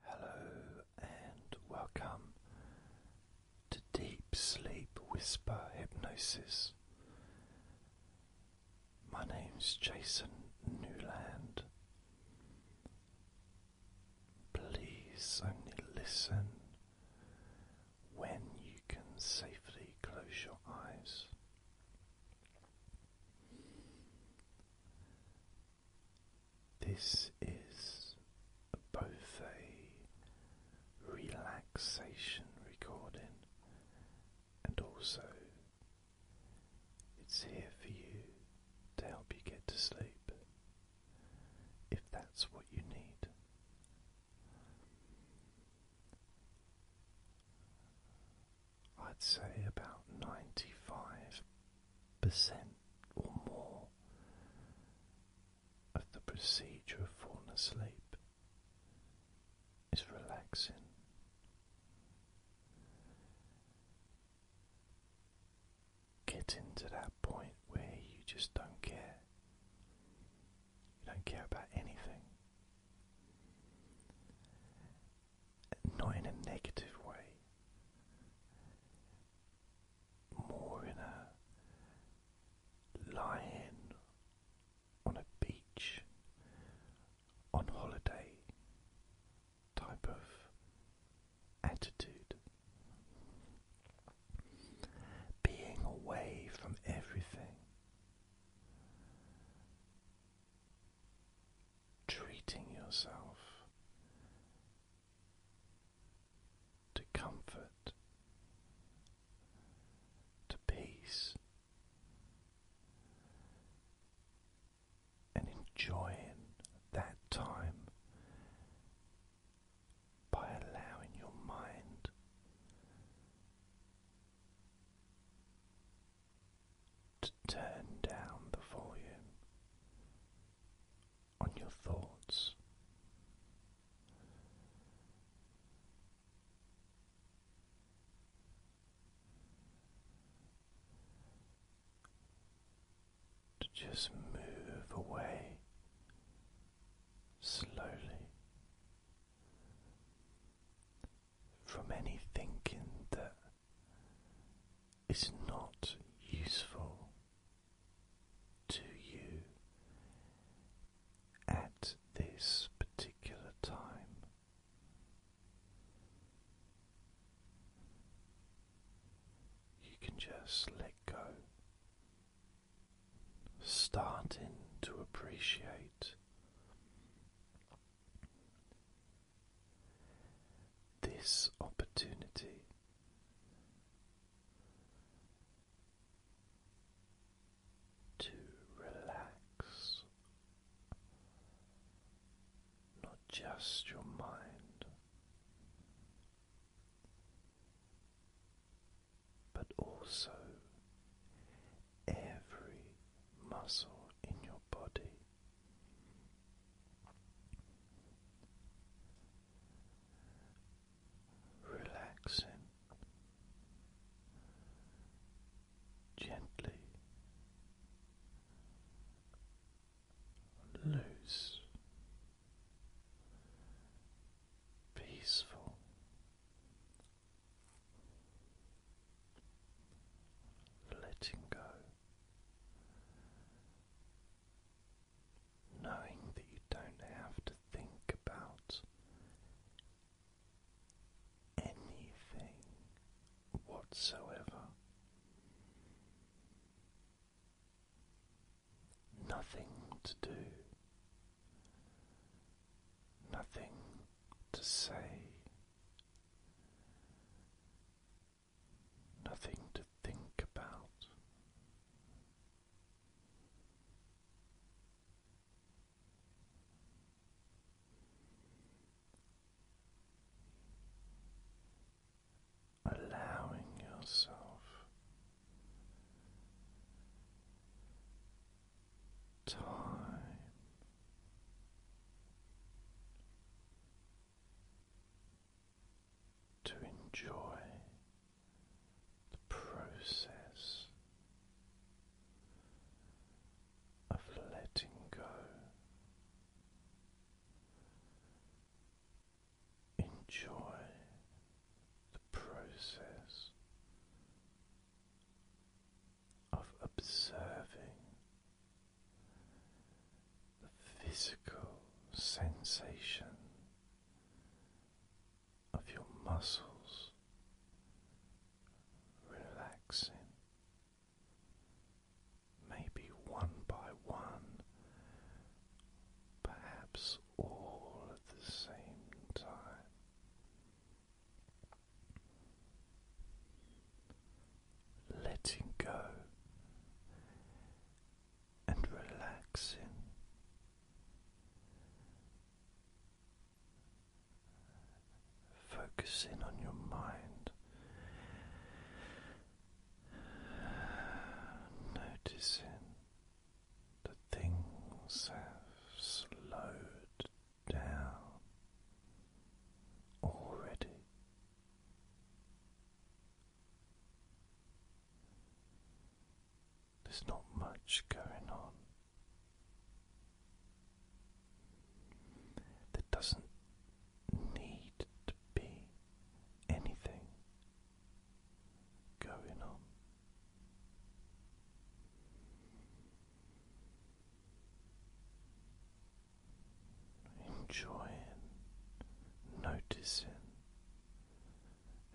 Hello and welcome to Deep Sleep Whisper Hypnosis. My name's Jason Newland. Please only listen when you can safely close your eyes. This is both a relaxation recording and also it's here for you to help you get to sleep if that's what you need. I'd say about 95 percent or more of the procedure of falling asleep is relaxing. Getting to that point where you just don't care. You don't care about anything not in a negative way, more in a lying on a beach on holiday type of attitude. Being away from everything, treating yourself to comfort, to peace, and enjoying that time by allowing your mind. To turn down the volume on your thoughts. To just move away slowly from any thinking that is not useful to you at this particular time. You can just let go, starting to appreciate this opportunity. To relax not just your mind, but also every muscle in your body relaxing gently. Loose, peaceful, letting go, knowing that you don't have to think about anything whatsoever. Nothing to do, nothing to say, nothing to think about. Allowing yourself time to enjoy the process of letting go. Enjoy the process of observing the physical sensation of your muscles relaxing. Maybe one by one, perhaps all at the same time. Letting go and relaxing. Focusing on your mind, noticing that things have slowed down already. There's not much going on. There doesn't need to be anything going on. Enjoying, noticing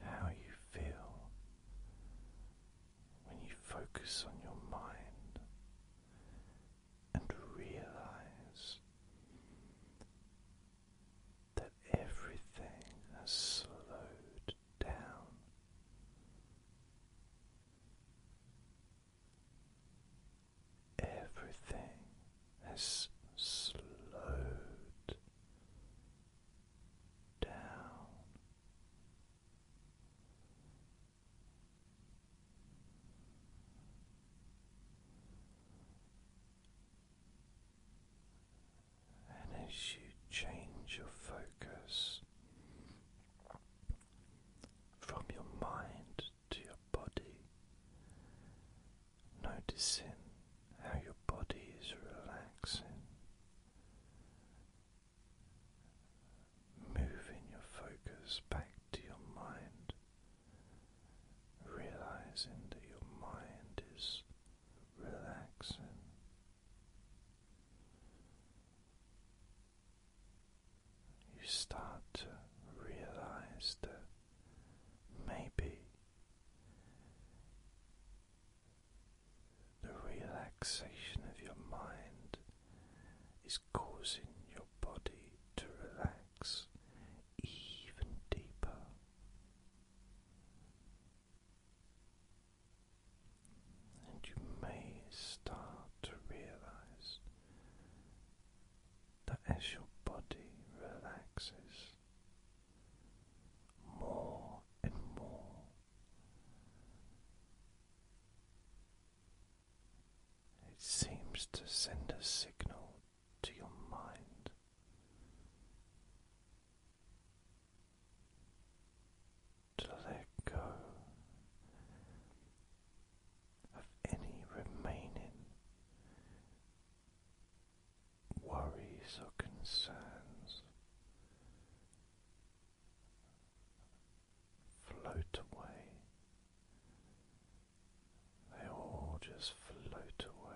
how you feel when you focus on your mind and realize that everything has slowed down. Everything has slowed down. And as you change your focus from your mind to your body, noticing how your body is relaxing, moving your focus back to your mind, realizing that your mind is relaxing. You start to realize that maybe the relaxation of your mind is causing your body to relax even deeper. And you may start to realize that as your body relaxes, more and more. It seems to send a signal to your mind. To let go of any remaining worries or concerns float away. They all just float away.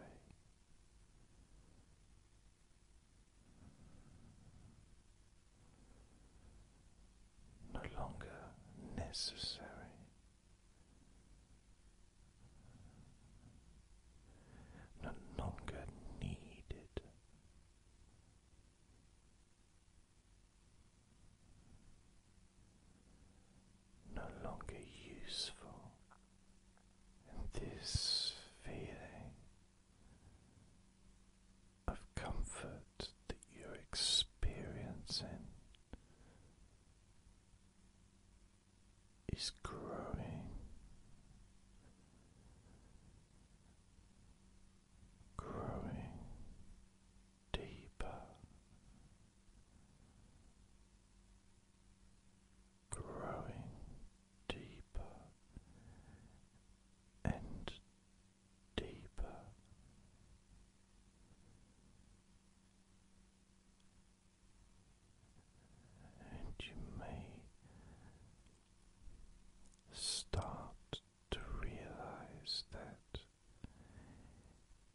No longer necessary no longer needed. No longer useful, this feeling of comfort that you're experiencing is growing, growing deeper, growing deeper and deeper and you may start to realize that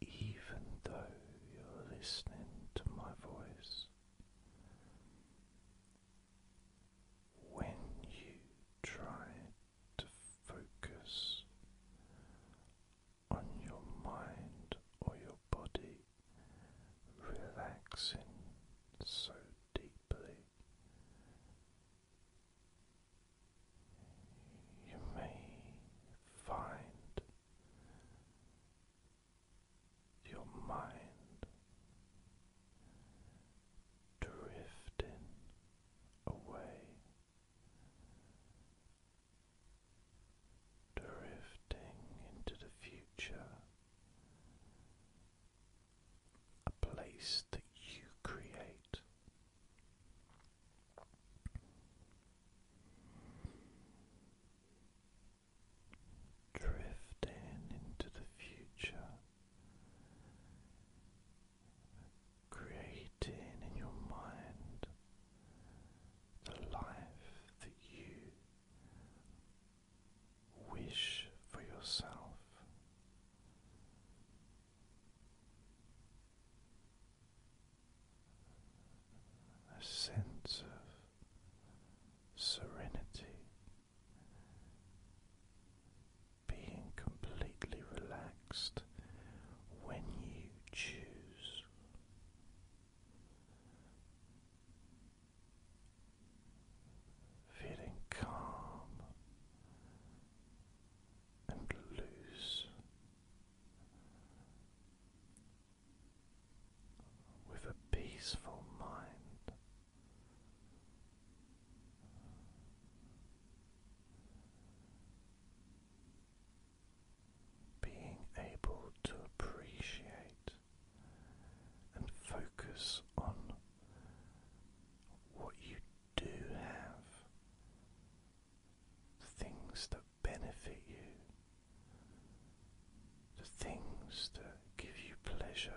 even though you're listening to my voice, when you try to focus on your mind or your body, relaxing so deeply. You may find your mind drifting away drifting into the future, a place that you create. Drifting into the future, creating in your mind the life that you wish for yourself. A sense of serenity, being completely relaxed when you choose feeling calm and loose with a peaceful mind. Being able to appreciate and focus on what you do have, the things that benefit you, the things that give you pleasure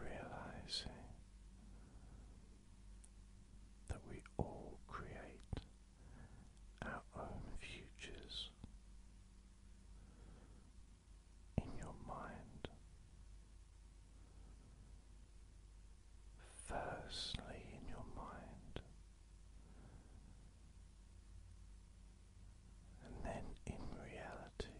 realizing that we all create our own futures in your mind. Firstly, in your mind, and then in reality,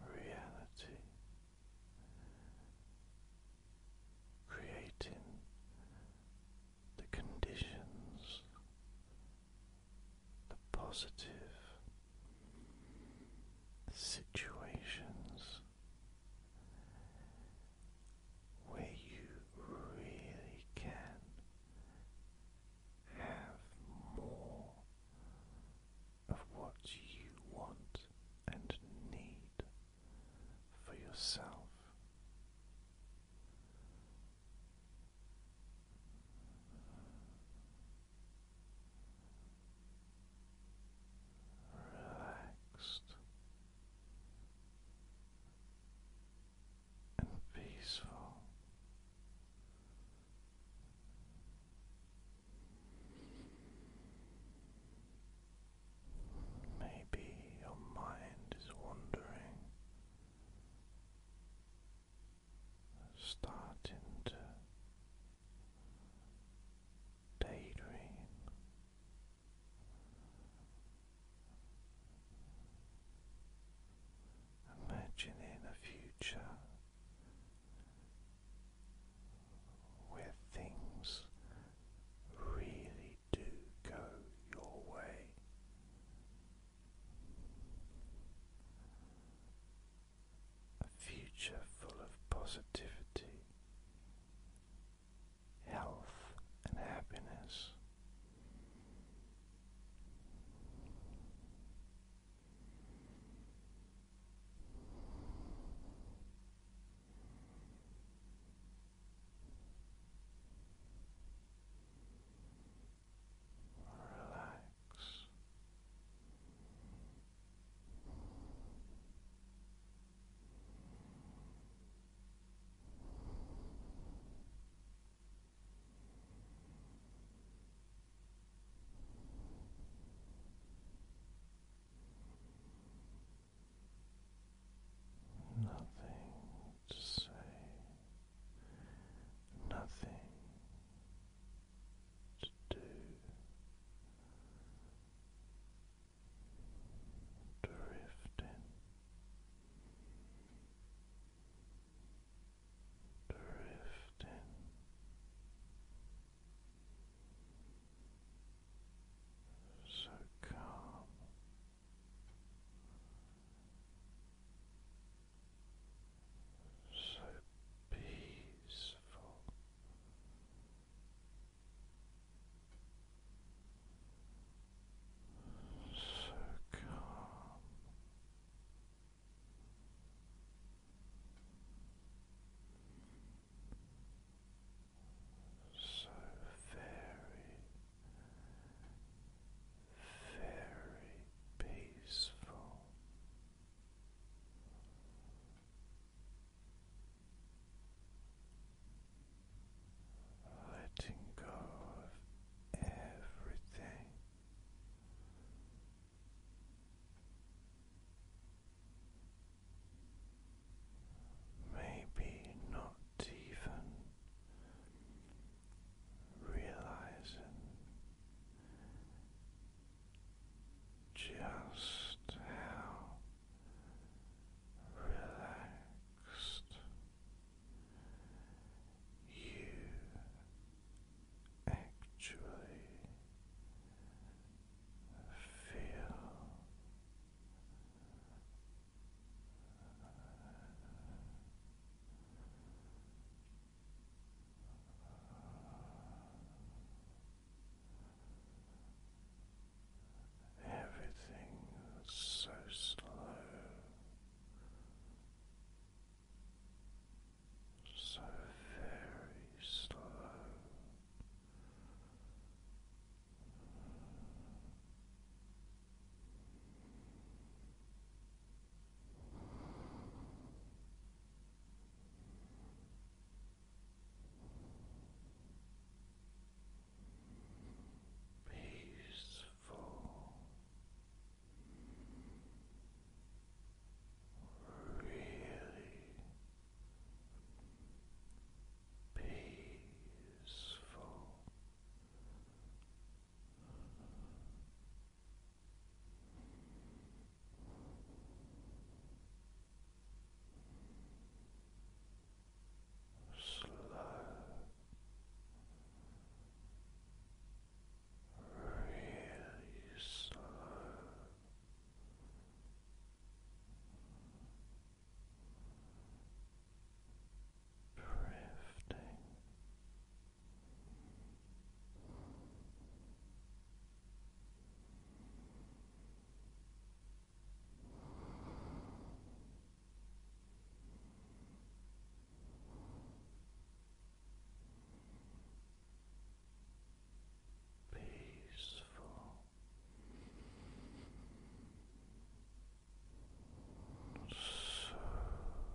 reality, creating the conditions, the positive situations where you really can have more of what you want and need for yourself. Relaxed, and peaceful. Maybe your mind is wandering, starting to daydream Imagining a future where things really do go your way. A future full of positivity health, and happiness. Relax. Nothing to say, nothing to do, drifting drifting. So calm, so peaceful, so calm. So very, very peaceful letting go of everything. Maybe not even realizing just how relaxed you actually feel everything so slow so very slow peaceful, really peaceful slow, really slow. Drifting Peaceful, so deeply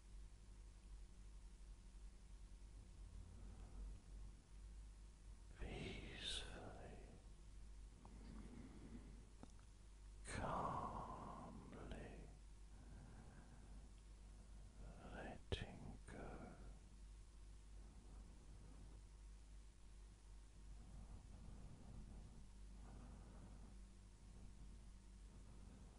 peacefully, calmly letting go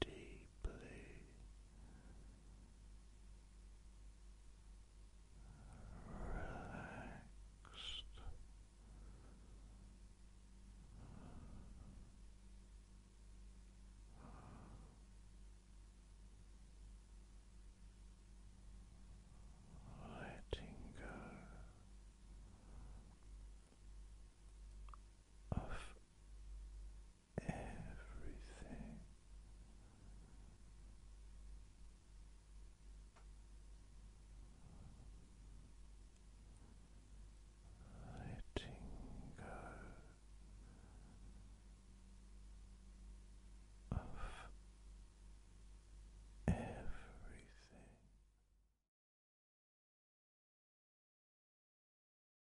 deeply relaxed. Letting go of everything. Letting go of everything.